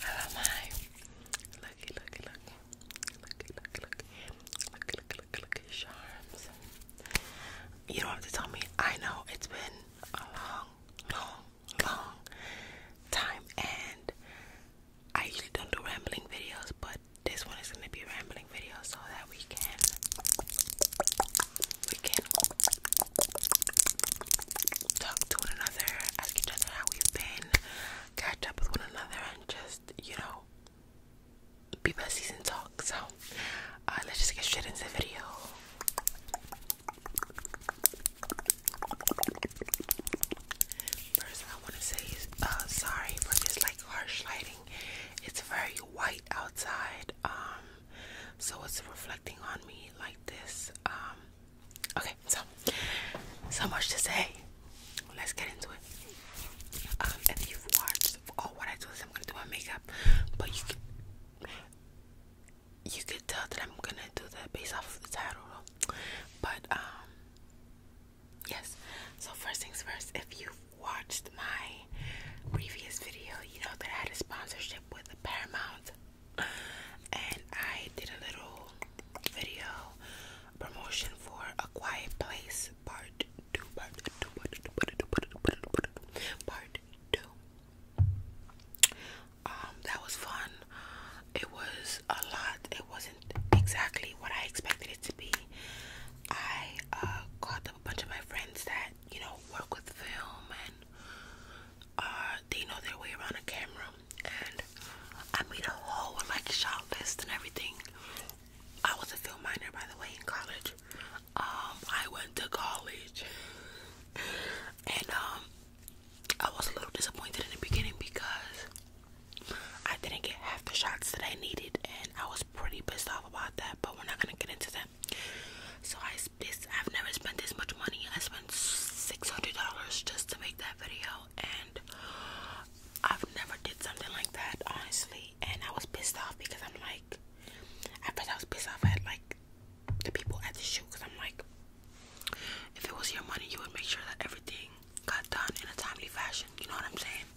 How am I? Looky, looky, looky. Looky, looky, looky. Charms. You don't have to tell me. I know it's been a long, long, long time, and I usually don't do rambling videos, but this one is gonna be a rambling video so that we can we can talk to one another, ask each other how we've been, catch up with one another and just, you know, be besties and talk. So uh, let's just get straight into the video. First, I want to say uh, sorry for this like harsh lighting. It's very white outside, um, so it's reflecting on me like this. Um, okay, so so much to say. Let's get into it. Um, if you've watched, oh, what I do I'm gonna do my makeup, but you you could tell that I'm gonna do that based off the title, but yes so first things first if you've watched my previous video you know that I had a sponsorship with Paramount and I did a little video promotion for a quiet place part two part two part two part two part two part two, part two, part two. um that was fun it was a lot it wasn't exactly what I expected it to be. I uh, up a bunch of my friends that you know work with film and uh, they know their way around a camera, and I made a whole like shot list and everything. I was a film minor, by the way, in college. Um, I went to college, and um, I was a little disappointed in the beginning because I didn't get half the shots that I needed, and I was pretty pissed off about that. But we're not gonna get into that. So I this I've never spent this much money. I spent six hundred dollars just to make that video, and I've never did something like that honestly. And I was pissed off because I'm like, at first I was pissed off at like the people at the shoot because I'm like, if it was your money, you would make sure that everything got done in a timely fashion. You know what I'm saying?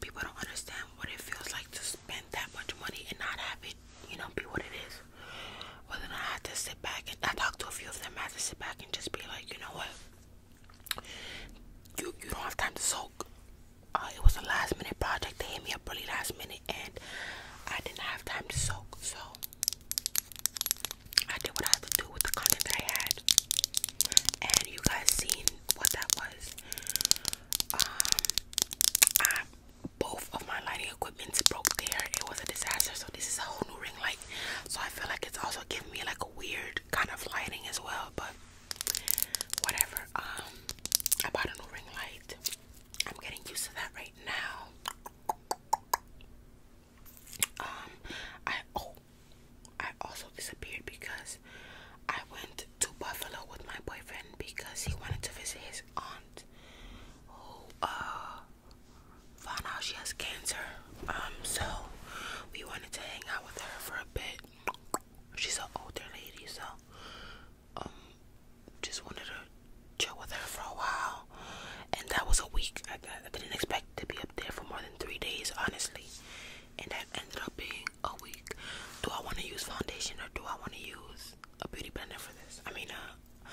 People don't understand what it feels like to spend that much money and not have it, you know, be what it is. Well, then I had to sit back and I talked to a few of them. I had to sit back and just be like, you know what? You you don't have time to soak. Uh, it was a last minute project. They hit me up really last minute, and I didn't have time to soak. So I did what I had to do with the content that I had and you guys seen what that was. Um, both of my lighting equipments broke there. It was a disaster. So this is a whole new ring light. So I feel like it's also giving me like a weird kind of lighting as well. But whatever. Um, I bought a new ring light. I'm getting used to that right now. Um, I oh I also disappeared because I went to Buffalo with my boyfriend because he wanted to visit his aunt who uh, found out she has cancer. Um so we wanted to hang out with her for a bit. She's an older lady, so um just wanted to chill with her for a while. And that was a week. I didn't expect to be up there for more than three days, honestly and that ended up being a week. Do I want to use foundation or do I want to use a beauty blender for this? I mean, uh,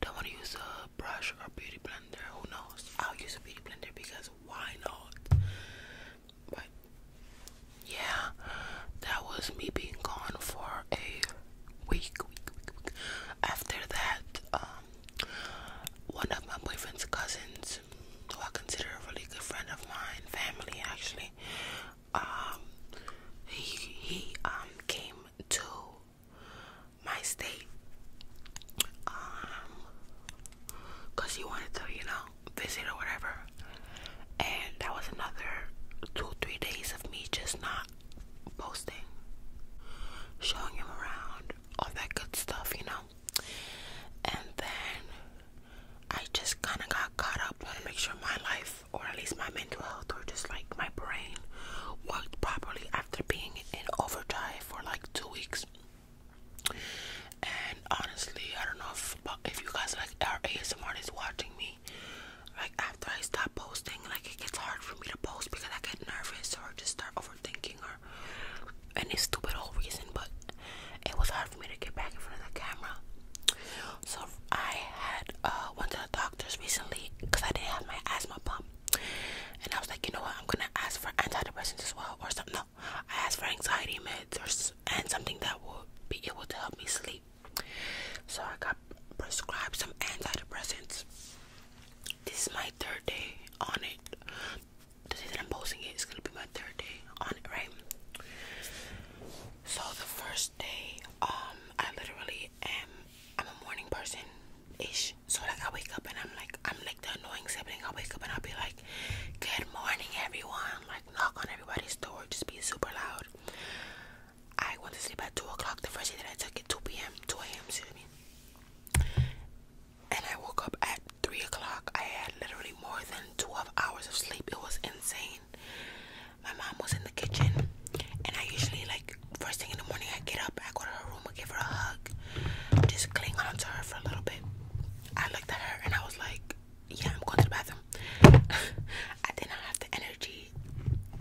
do I want to use a brush or a beauty blender? Who knows? I'll use a beauty blender because why not? But yeah, that was me being gone for a week. After that, um, one of my boyfriend's cousins friends who I consider a really good friend of mine, family actually. Um, he he um came to my state um because he wanted to you know visit or whatever, and that was another two three days of me just not posting, showing him around, all that good stuff, you know and then I just kind of got caught up Want to make sure my life, or at least my mental health, or just like my brain, worked properly after being in overdrive for like two weeks. And honestly, I don't know if if you guys like are ASMR is watching me. Like after I stop posting, like it gets hard for me to post because I get nervous or just start overthinking or and it's stupid whole reason, but it was hard for me to get back in front of the camera. So I had uh, went to the doctor's recently because I didn't have my asthma pump, and I was like, you know what, I'm gonna ask for antidepressants as well, or something. No, I asked for anxiety meds and something that will be able to help me sleep. So I got prescribed some antidepressants. This is my third day on it the day that I'm posting it is gonna be my third day on it, right? So the first day, um, I literally am I'm a morning person ish. So like I wake up and I'm like I'm like the annoying sibling. I wake up and I'll be like, Good morning everyone, like knock on everybody's door, just be super loud. I went to sleep at two o'clock the first day that I took it, two PM, two AM, excuse me and I woke up at three o'clock. I had literally more than 12 hours of sleep. It was insane. My mom was in the kitchen, and I usually like first thing in the morning. I get up, I go to her room, I give her a hug, just cling on to her for a little bit. I looked at her and I was like, "Yeah, I'm going to the bathroom." I did not have the energy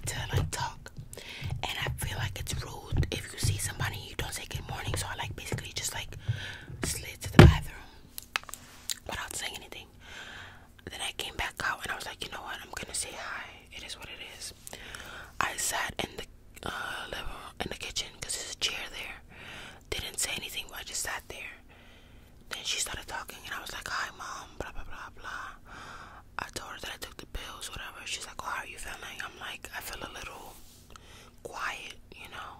to like talk, and I feel like it's rude if you see somebody you don't say good morning, so I like basically just like slid to the bathroom without saying anything. Then I came back out and I was like, you know what? I'm gonna say hi. It is what it is. I sat in the uh, living in the kitchen because there's a chair there. Didn't say anything, but I just sat there. Then she started talking and I was like, hi mom, blah blah blah blah. I told her that I took the pills, whatever. She's like, oh, how are you feeling? I'm like, I feel a little quiet, you know.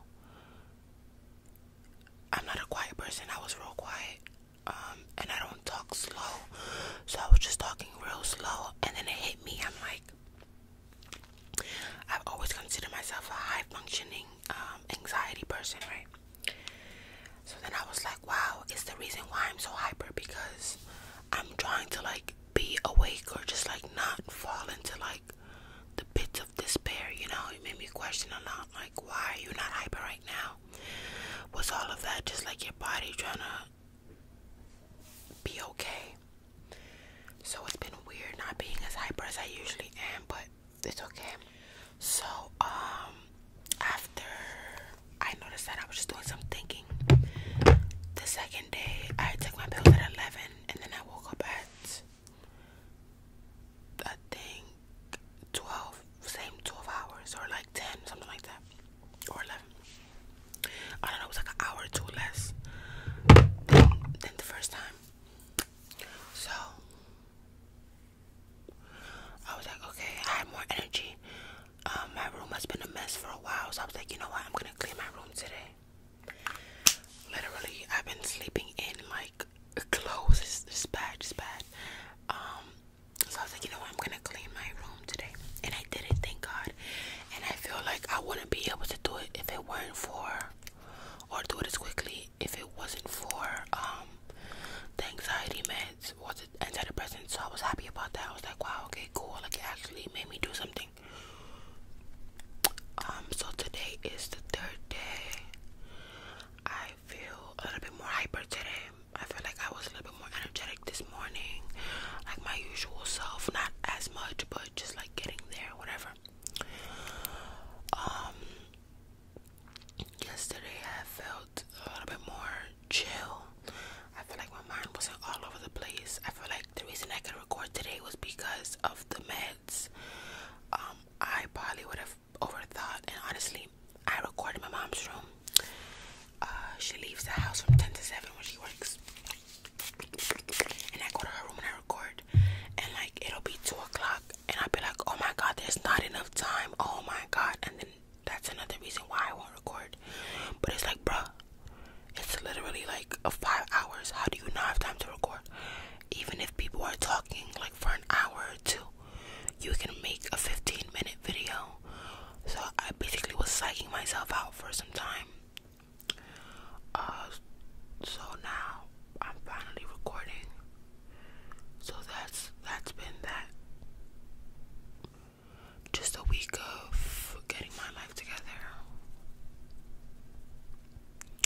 I'm not a quiet person. I was real quiet. Um, and I don't talk slow. So I was just talking real slow. And then it hit me. I'm like, I've always considered myself a high functioning um, anxiety person, right? So then I was like, wow, it's the reason why I'm so hyper because I'm trying to like be awake or just like not fall into like the pits of despair, you know. It made me question a lot, like why are you not hyper right now? Was all of that just like your body trying to be okay? So it's been weird not being as hyper as I usually am, but it's okay. So um after I noticed that I was just doing some thinking. The second day I took my pills at eleven and then I woke up at I think 12, same 12 hours or like 10, something like that, or 11. I don't know, it was like an hour or two less than, the first time. So I was like, okay, I have more energy. Um, my room has been a mess for a while, so I was like, you know what, I'm gonna clean my room today. Literally, I've been sleeping in like clothes. It's, it's bad, it's bad. Um, so I was like, you know what? I'm gonna clean my room today, and I did it. Thank God. And I feel like I wouldn't be able to do it if it weren't for, or do it as quickly if it wasn't for um the anxiety meds, was it antidepressants? So I was happy about that. I was like, wow, okay, cool. Like it actually made me do something um, so today is the third day. I feel a little bit more hyper today. I feel like I was a little bit more energetic this morning, like my usual self. Not as much, but just like getting there, whatever. Um, yesterday I felt a little bit more chill. I feel like my mind wasn't all over the place. I feel like the reason I could record today was because of the meds. Um, I probably would have overthought, and honestly, I record in my mom's room. Uh, she leaves the house from 10 to 7 when she works. And I go to her room and I record. And like it'll be 2 o'clock. And I'll be like, oh my god, there's not enough time. Oh my god. And then that's another reason why I won't record. But it's like, bruh, it's literally like a five hours. How do you not have time to record? Even if people are talking like for an hour or two, you can make a 15 minute video. So I basically was psyching myself out for some time. Uh, so now I'm finally recording. So that's that's been that just a week of getting my life together,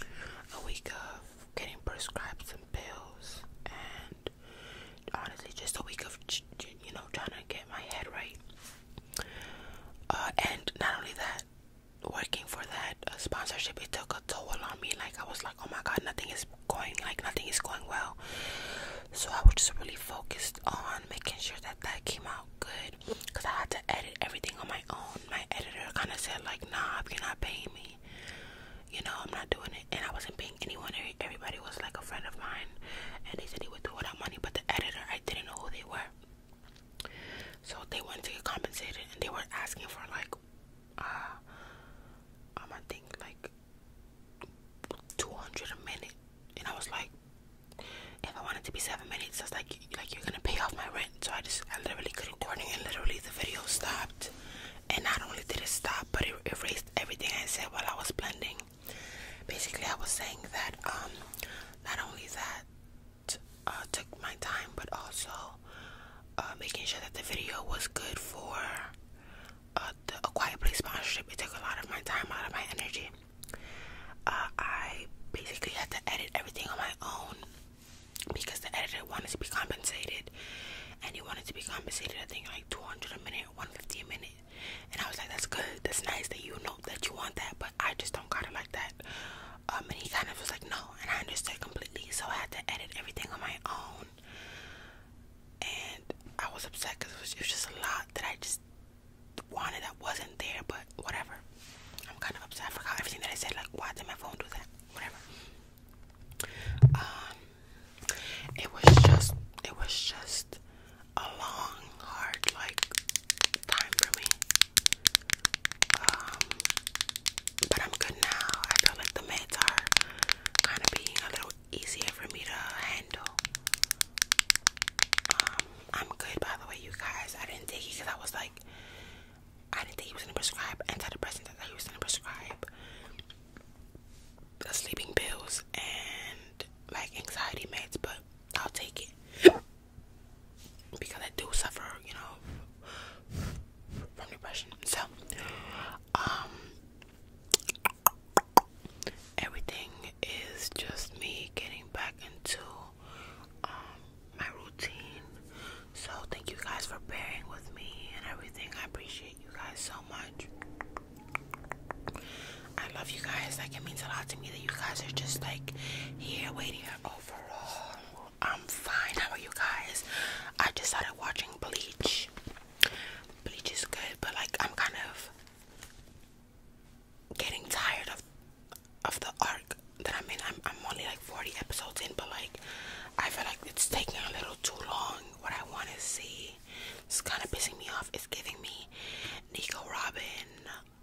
a week of getting prescribed some pills, and honestly, just a week of you know trying to get my head right. Uh, and not only that, working for that uh, sponsorship, it took a toll on me. Like I was like, oh my god, nothing is going like nothing is going well. So I was just really focused on making sure that that came out good because I had to edit everything on my own. My editor kind of said like, "Nah, if you're not paying me, you know, I'm not doing it." And I wasn't paying anyone. Everybody was like a friend of mine, and they said he would do without money. But the editor, I didn't know who they were, so they wanted to get compensated, and they were asking for like, uh, um, I think like. 200 a minute and I was like if I wanted to be seven minutes, that's like like you're gonna pay off my rent. So I just I literally quit recording and literally the video stopped. And not only did it stop, but it erased everything I said while I was blending. Basically, I was saying that um not only that uh, took my time, but also uh, making sure that the video was good for uh, the A Quiet Place sponsorship. It took a lot of my time, a lot of my energy. Uh, I basically had to edit everything on my own because the editor wanted to be compensated, and he wanted to be compensated. I think like two hundred a minute, one fifty a minute, and I was like, "That's good. That's nice that you know that you want that, but I just don't got it like that." Um, and he kind of was like, "No," and I understood completely. So I had to edit everything on my own, and I was upset because it was, it was just a lot that I just wanted that wasn't there, but whatever. I'm kind of upset. I forgot everything that I said. Like, why did my phone do that? Whatever. Um, it was just, it was just a long, hard, like, time for me. Um, but I'm good now. I feel like the meds are kind of being a little easier for me to handle. Um, I'm good by the way, you guys. I didn't take it because I was like, I didn't think he was gonna prescribe antidepressants. I thought he was gonna prescribe the sleeping pills and like anxiety meds, but I'll take it because I do suffer, you know, from depression. So, um, everything is just me getting back into um, my routine. So thank you guys for bearing with me and everything. I appreciate you guys so much. I love you guys. Like it means a lot to me that you guys are just like here waiting overall. I'm fine. How are you guys? I just started watching Bleach. Bleach is good, but like I'm kind of getting tired of of the arc that I'm in. I'm I'm only like 40 episodes in, but like I feel like it's taking a little too long. What I want to see, it's kind of pissing me off. It's giving me Nico Robin.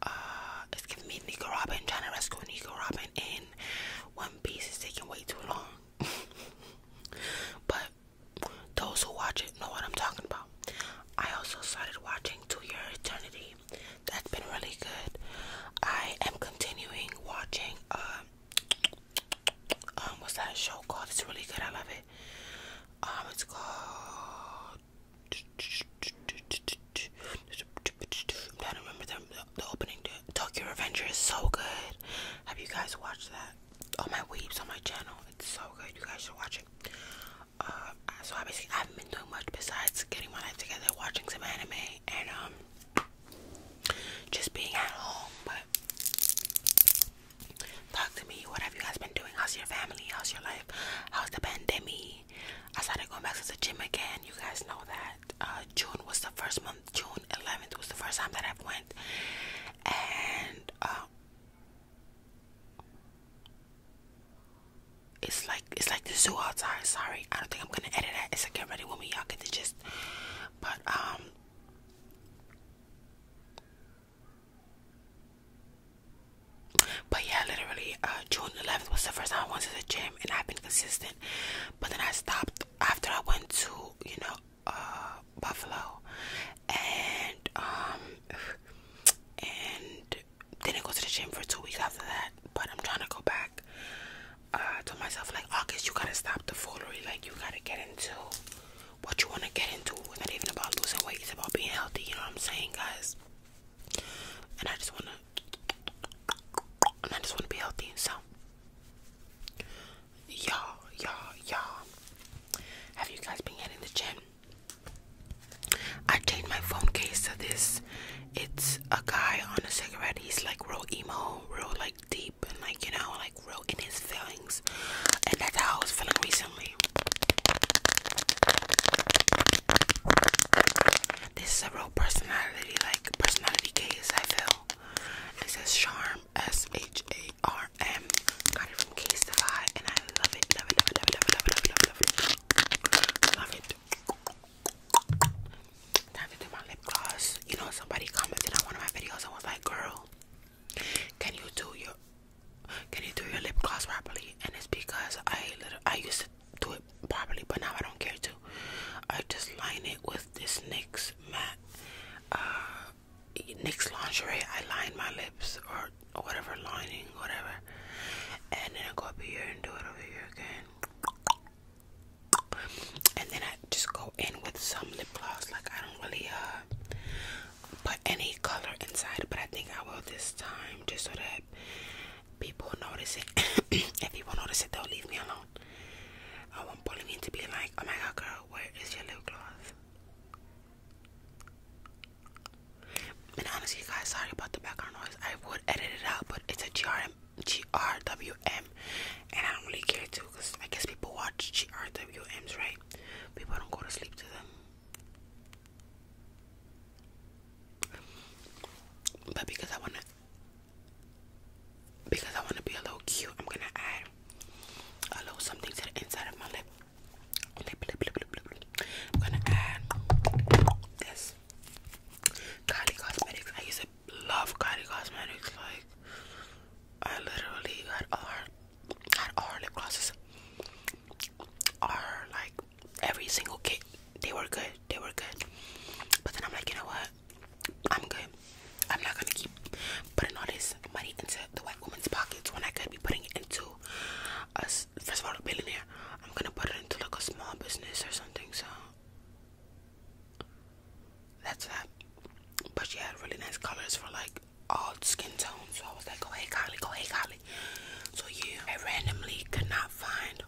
Uh, it's giving me Nico Robin trying to rescue Nico Robin in One Piece. is taking way too long. but those who watch it know what I'm talking about out. I also started watching To Your Eternity. That's been really good. I am continuing watching uh, um what's that show called? It's really good, I love it. Um it's called I'm trying to remember the, the opening to Tokyo Revenger is so good. Have you guys watched that? Oh my weeps on my channel. It's so good. You guys should watch it. Uh, so obviously I haven't been doing much besides getting my life together, watching some anime, and um, just being at home. But talk to me. What have you guys been doing? How's your family? How's your life? How's the pandemic? I started going back to the gym again. You guys know that uh, June was the first month. June 11th was the first time that I went, and uh, it's like it's like the zoo outside. Sorry, I don't think I'm gonna edit that. It's like get ready with me, y'all get the gist. But um But yeah, literally uh, June eleventh was the first time I went to the gym and I've been consistent. But then I stopped after I went to, you know, uh Buffalo and um and didn't go to the gym for two weeks after that. But I'm trying to go back. Uh, I told myself like August, you gotta stop the foolery. Like you gotta get into what you wanna get into. It's not even about losing weight. It's about being healthy. You know what I'm saying, guys? And I just wanna, I just wanna be healthy. So, y'all, y'all, y'all, have you guys been getting the gym? I changed my phone case to this. It's a guy on a cigarette. He's like real emo, real like deep, and like you know, like real in his feelings. And that's how I was feeling recently. This is a real personality, like personality case. I feel. It says charm, S H A RM. Got it from Casetify and I love it. Love it, love it, love it, love it, love it, love it, love it. Time to do my lip gloss. You know, somebody commented on one of my videos and was like, girl, can you do your can you do your lip gloss properly? And it's because I I used to do it properly, but now I don't care to. I just line it with this NYX matte uh, NYX lingerie, I line my lips or, whatever lining, whatever, and then I go up here and do it over here again, and then I just go in with some lip gloss. Like I don't really uh put any color inside, but I think I will this time just so that people notice it. if people notice it, don't leave me alone. I want Pauline to be like, "Oh my God, girl, where is your lip gloss?" And honestly, guys, sorry about the background noise. I would edit it out, but it's a GRM, GRWM, and I don't really care too, cause I guess people watch GRWMs, right? People don't go to sleep to them. But because I wanna, because I wanna be a little cute, I'm gonna add a little something to the inside of my lip. I'm gonna add this Kylie Cosmetics. I used to love Kylie Cosmetics. Like I literally had all her, all lip glosses. Are like every single kit. They were good. They were good. But then I'm like, you know what? I'm good. I'm not gonna keep putting all this money into the white woman's pockets when I could be putting it into first of all billionaire. I'm gonna put it into like a small business or something. So that's that. But she had really nice colors for like all skin tones. So I was like, go hey Kylie, go hey Kylie. So yeah, I randomly could not find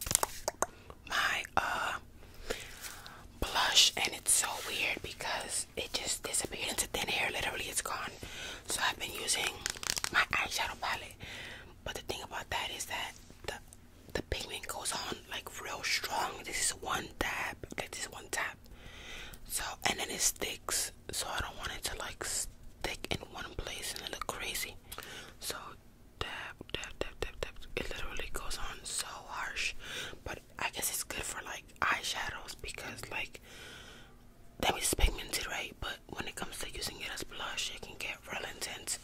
my uh, blush and it's so weird because it just disappears into thin air. Literally, it's gone. So I've been using my eyeshadow palette, but the thing about that is that the the pigment goes on like real strong. This is one dab, like this one tap. So and then it sticks. So I don't want it to like stick in one place and look crazy. So dab, dab, dab, dab, dab. It literally goes on so harsh, but I guess it's good for like eyeshadows because like that means pigmented, right? But when it comes to using it as blush, it can get real intense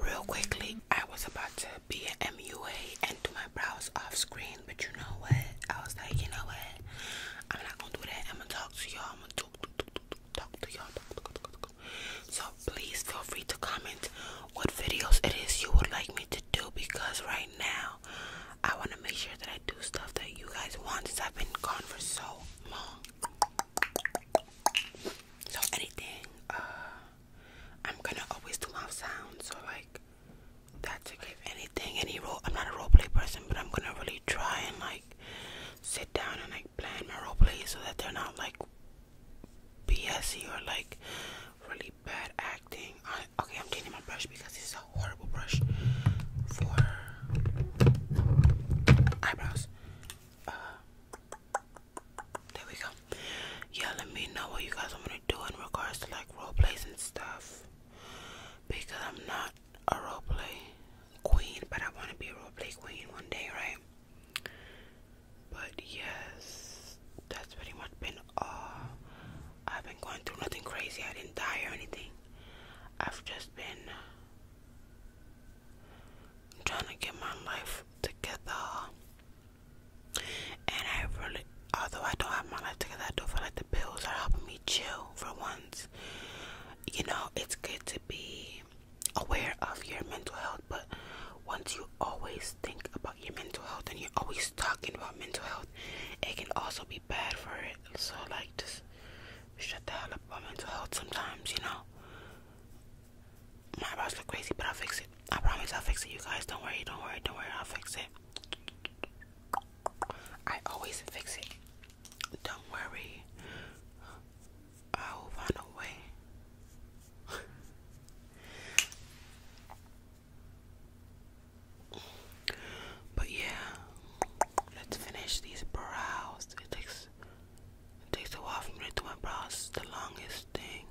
real quickly. I was about to be an MUA and do my brows off screen, but you know what? I was like, you know what? I'm not gonna do that. I'm gonna talk to y'all. I'm gonna talk, talk, talk, talk to y'all. So please feel free to comment what videos it is you would like me to do because right now I want to make sure that I I do stuff that you guys want I've been gone for so long. So anything, uh, I'm gonna always do mouth sounds. So like, that's like if anything, any role. I'm not a role play person, but I'm gonna really try and like sit down and like plan my role play so that they're not like BSy or like really bad acting Okay, I'm changing my brush because this is a horrible brush eyebrows. Uh, there we go. Yeah, let me know what you guys want me to do in regards to like role and stuff. Because I'm not a role queen, but I want to be a role queen one day, right? But yes, that's pretty much been all I've been going through nothing crazy. I didn't die or anything. I've just been uh, trying to get my life together. And I really, although I don't have my life together, I do feel like the pills are helping me chill for once. You know, it's good to be aware of your mental health, but once you always think about your mental health and you're always talking about mental health, it can also be bad for it. So like just shut the hell up about mental health sometimes, you know. My brows look crazy, but I'll fix it. I promise I'll fix it, you guys. Don't worry, don't worry, don't worry, I'll fix it. I always fix it. Don't worry. I'll find a way. But yeah, let's finish these brows. It takes it takes a while for me to do my brows. the longest thing.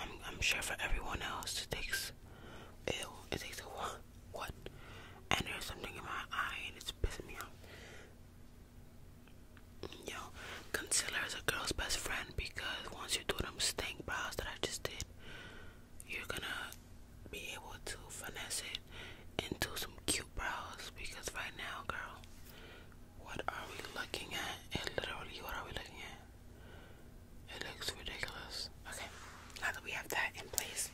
I'm I'm sure for everyone else it takes ew, it takes a while. What? And there's something in my eye and it's pissing me off. Yo, concealer is a girl's best friend because once you do them stink brows that I just did, you're gonna be able to finesse it into some cute brows because right now, girl, what are we looking at? And literally, what are we looking at? It looks ridiculous. Okay, now that we have that in place,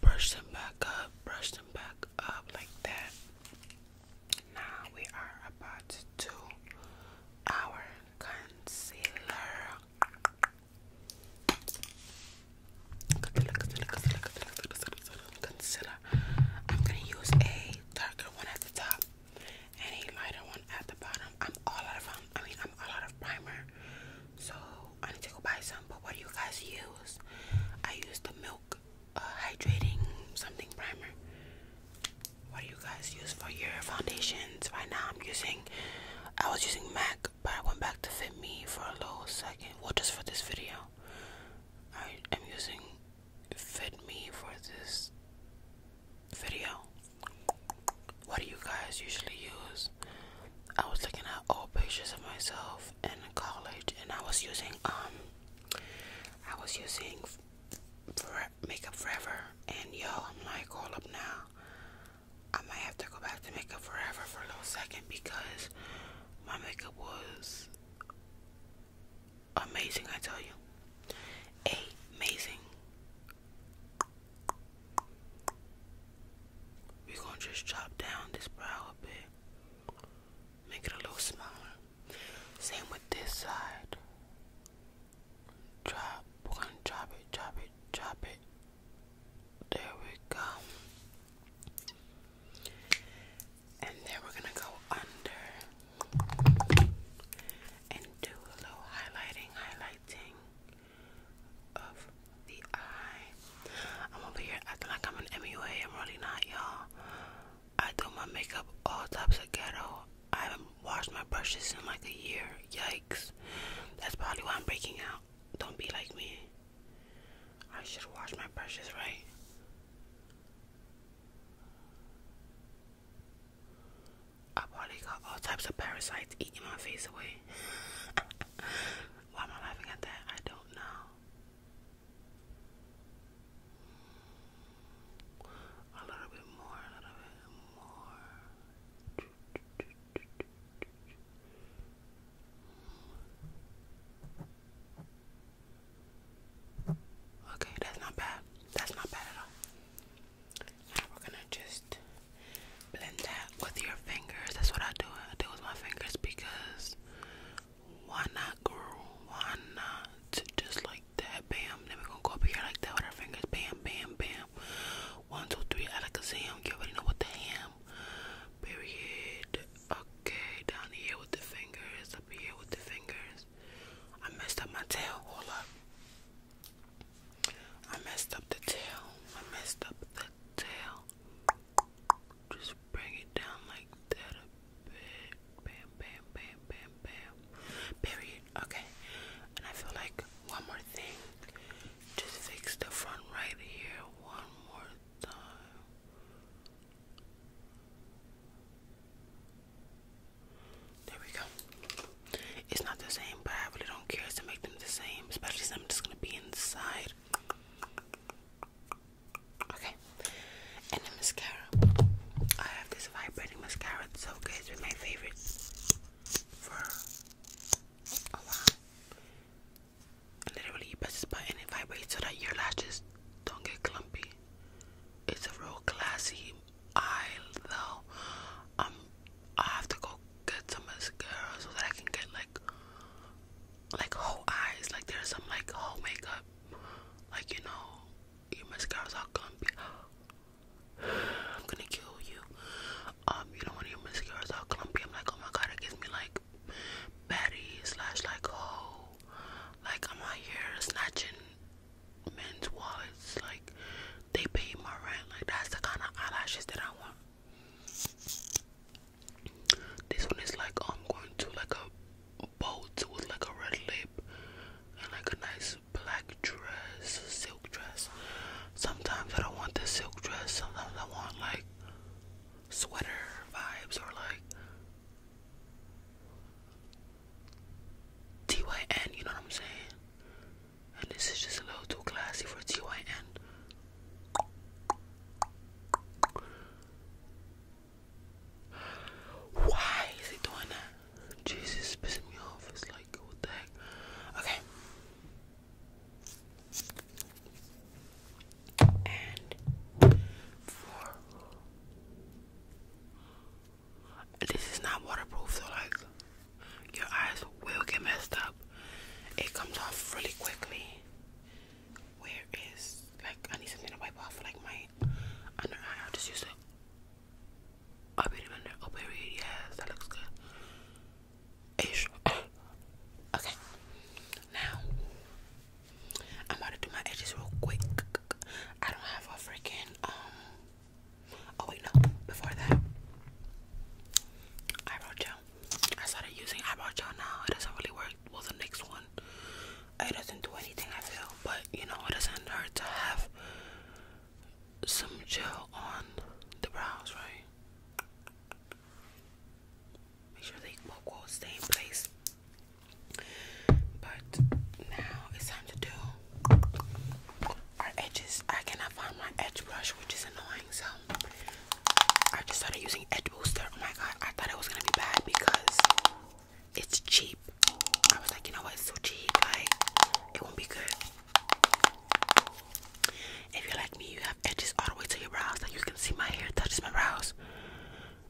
brush them back up, brush them back up like that. Now we are about to do our concealer. Consider, consider, consider, consider, consider, consider. I'm gonna use a darker one at the top and a lighter one at the bottom. I'm all out of um, I mean I'm all out of primer, so I need to go buy some. But what do you guys use? I use the milk uh, hydrating something primer. What do you guys use for your foundations? Right now, I'm using. I was using MAC, but I went back to Fit Me for a little second. Well, just for this video, I am using Fit Me for this video. What do you guys usually use? I was looking at old pictures of myself in college, and I was using um, I was using. For Makeup Forever, and yo, I'm like all up now. I might have to go back to Makeup Forever for a little second because my makeup was amazing, I tell you. Amazing. We're gonna just chop down this brow a bit, make it a little smaller. Same with this side. Drop, we're gonna drop it, drop it, drop it. There we go. And then we're gonna go under and do a little highlighting, highlighting of the eye. I'm over here acting like I'm an MUA. I'm really not, y'all. I do my makeup all types of ghetto. I haven't washed my brushes in like a year. Yikes. That's probably why I'm breaking out. Don't be like me. I should wash my brushes, right? I probably got all types of parasites eating my face away. why am I laughing at that? I don't know. A little bit more, a little bit more. Okay, that's not bad. That's not bad at all. Now we're gonna just blend that with your fingers. That's what I do. I do with my fingers because why not, girl? Why not? Just like like that, bam. Then we're gonna go over here like that with our fingers, bam, bam, bam. One, two, three, alakazam. You already know what the ham. Period. Okay, down here with the fingers, up here with the fingers. I messed up my tail. Hold up. I messed up the tail. I messed up the tail. Just bring it down like that a bit. Bam, bam, bam, bam, bam. Period right? Okay. And I feel like one more thing. Just fix the front right here one more time. There we go. It's not the same, but I really don't care to make them the same, especially since I'm just gonna be inside. Okay. And the mascara. I have this vibrating mascara. It's so good. It's my favorite for a while. Literally, you press this button, it vibrates so that your lashes don't get clumpy. It's a real classy eye, though. Um, I have to go get some mascara so that I can get like, like whole eyes. Like there's some like whole makeup, like you know, your mascara's all clumpy. I'm gonna kill you. Um, you know when your mascara is all clumpy, I'm like, oh my god, it gives me like baddie slash like hoe. Oh, like I'm out here snatching men's wallets. Like they pay my rent. Like that's the kind of eyelashes that I want. This one is like oh, I'm going to like a boat with like a red lip and like a nice black dress, silk dress. Sometimes I don't want the silk dress. Sometimes I want like sweater vibes or like TYN, you know what I'm saying? And this is just a little too classy for TYN. Why is he doing that? Jesus, pissing me off. It's like Okay. And this is not waterproof, so like your eyes will get messed up. It comes off really quickly. Where is like I need something to wipe off like my under eye? I'll just use it. Oh, wait a minute. Oh, baby, yes, that looks good. Okay. Now, I'm about to do my edges real quick. I don't have a freaking, um, oh, wait, no. Before that, eyebrow gel. I started using eyebrow gel now. It doesn't really work. Well, the next one, it doesn't do anything, I feel. But, you know, it doesn't hurt to have some gel on the brows, right? Make sure they will stay in place. But now it's time to do our edges. I cannot find my edge brush, which is annoying. So I just started using Edge Booster. Oh my god, I thought it was gonna be bad because it's cheap. I was like, you know what? It's so cheap. Like, it won't be good. If you're like me, you have edges all the way to your brows. Like, you can see my hair touches my brows.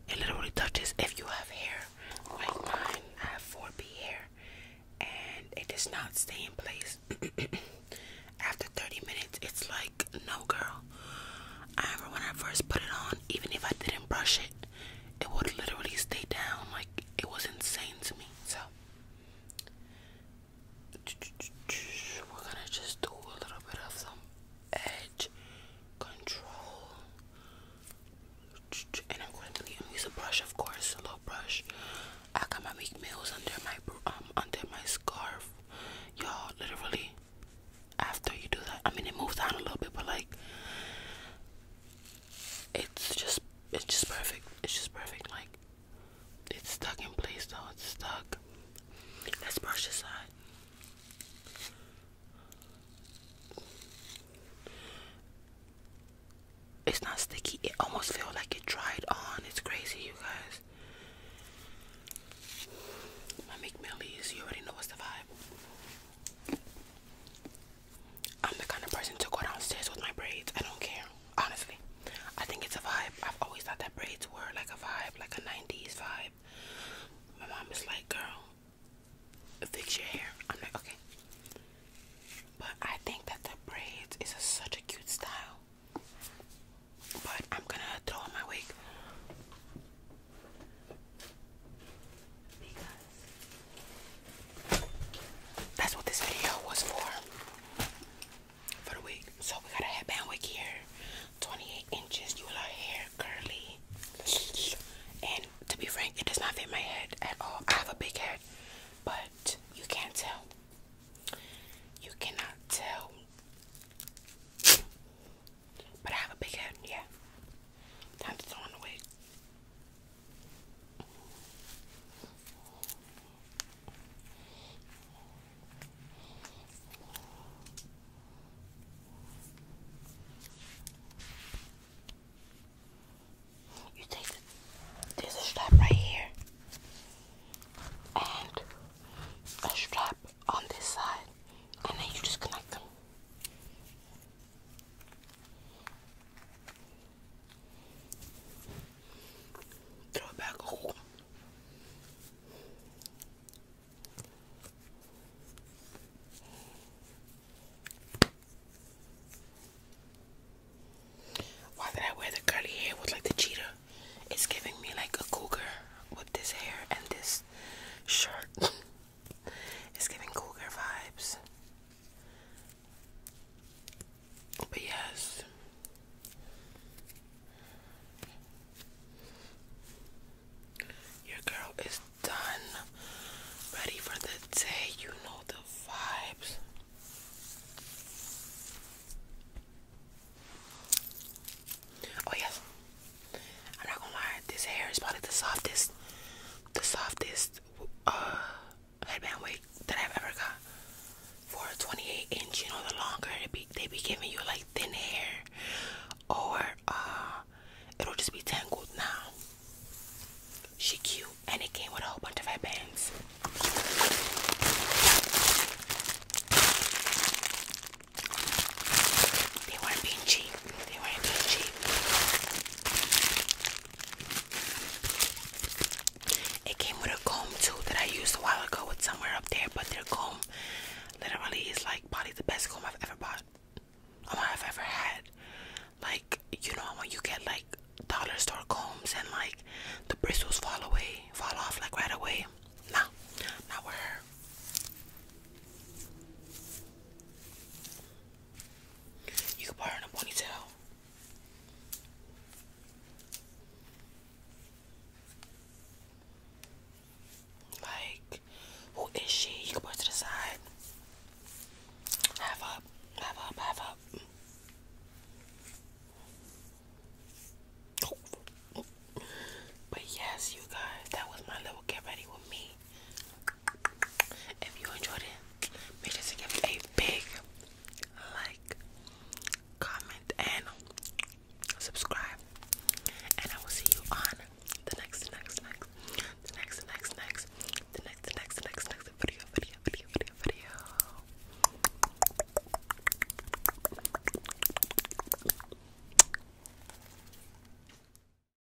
It literally touches. If you have hair like mine, I have 4B hair, and it does not stay in place. After 30 minutes, it's like, no, girl. I remember when I first put it on, even if I didn't brush it, it would literally stay down. Like it was insane to me. So we're gonna just do a little bit of some edge control. And I'm going to use a brush, of course, a little brush. I got my meat meals under my um under my scarf, y'all. Literally, after you do that, I mean it moves down a little bit, but like it's just it's just perfect. It's just perfect. Like it's stuck in place though. It's stuck. Let's brush this side. It's not sticky. It almost feels like it dried on. It's crazy, you guys. My McMillies, you already know what's the vibe. I'm the kind of person to go downstairs with my braids. I don't care, honestly. I think it's a vibe. I've always thought that braids were like a vibe, like a 90s vibe. My mom is like, girl, fix your hair. I'm like, okay. But I think that the braids is such a cute style. But I'm gonna throw on my wig that's what this video was for for the week. So we got a headband wig here, 28 inches. You will hair curly, and to be frank, it does not fit my head at all. I have a big head, but you can't tell. You cannot tell. But I have a big head, yeah. Time to throw on the wig. You take there's a strap right here and a strap on this side, and then you just connect them. Throw it back. Oh. Why did I wear the curly hair with like the cheetah? It's giving me like a cougar with this hair and this shirt. It's giving cougar vibes. But yes. Your girl is done. Ready for the day. You know the vibes. Oh yes. I'm not gonna lie, this hair is probably the softest the softest uh, headband wig that I've ever got for a 28 inch. You know, the longer it be, they be giving you like thin hair, or uh, it'll just be tangled now. She cute, and it came with a whole bunch of headbands. They weren't being cheap. They weren't that cheap. It came with a comb too that I used a while ago with somewhere up there, but their comb literally is like probably the best comb I've ever bought. Um, I've ever had. Like, you know when you get like dollar store combs and like the bristles fall away, fall off like right away. No, not with her. You can put her in a ponytail. Like, who is she? You can put her to the side. Half up, half up, half up. But yes, you guys, that was my little get ready with me. If you enjoyed it, make sure to give a big like, comment, and subscribe. And I will see you on the next, next, next, the next, next, next, the next, the next, next, next video, video, video, video, video.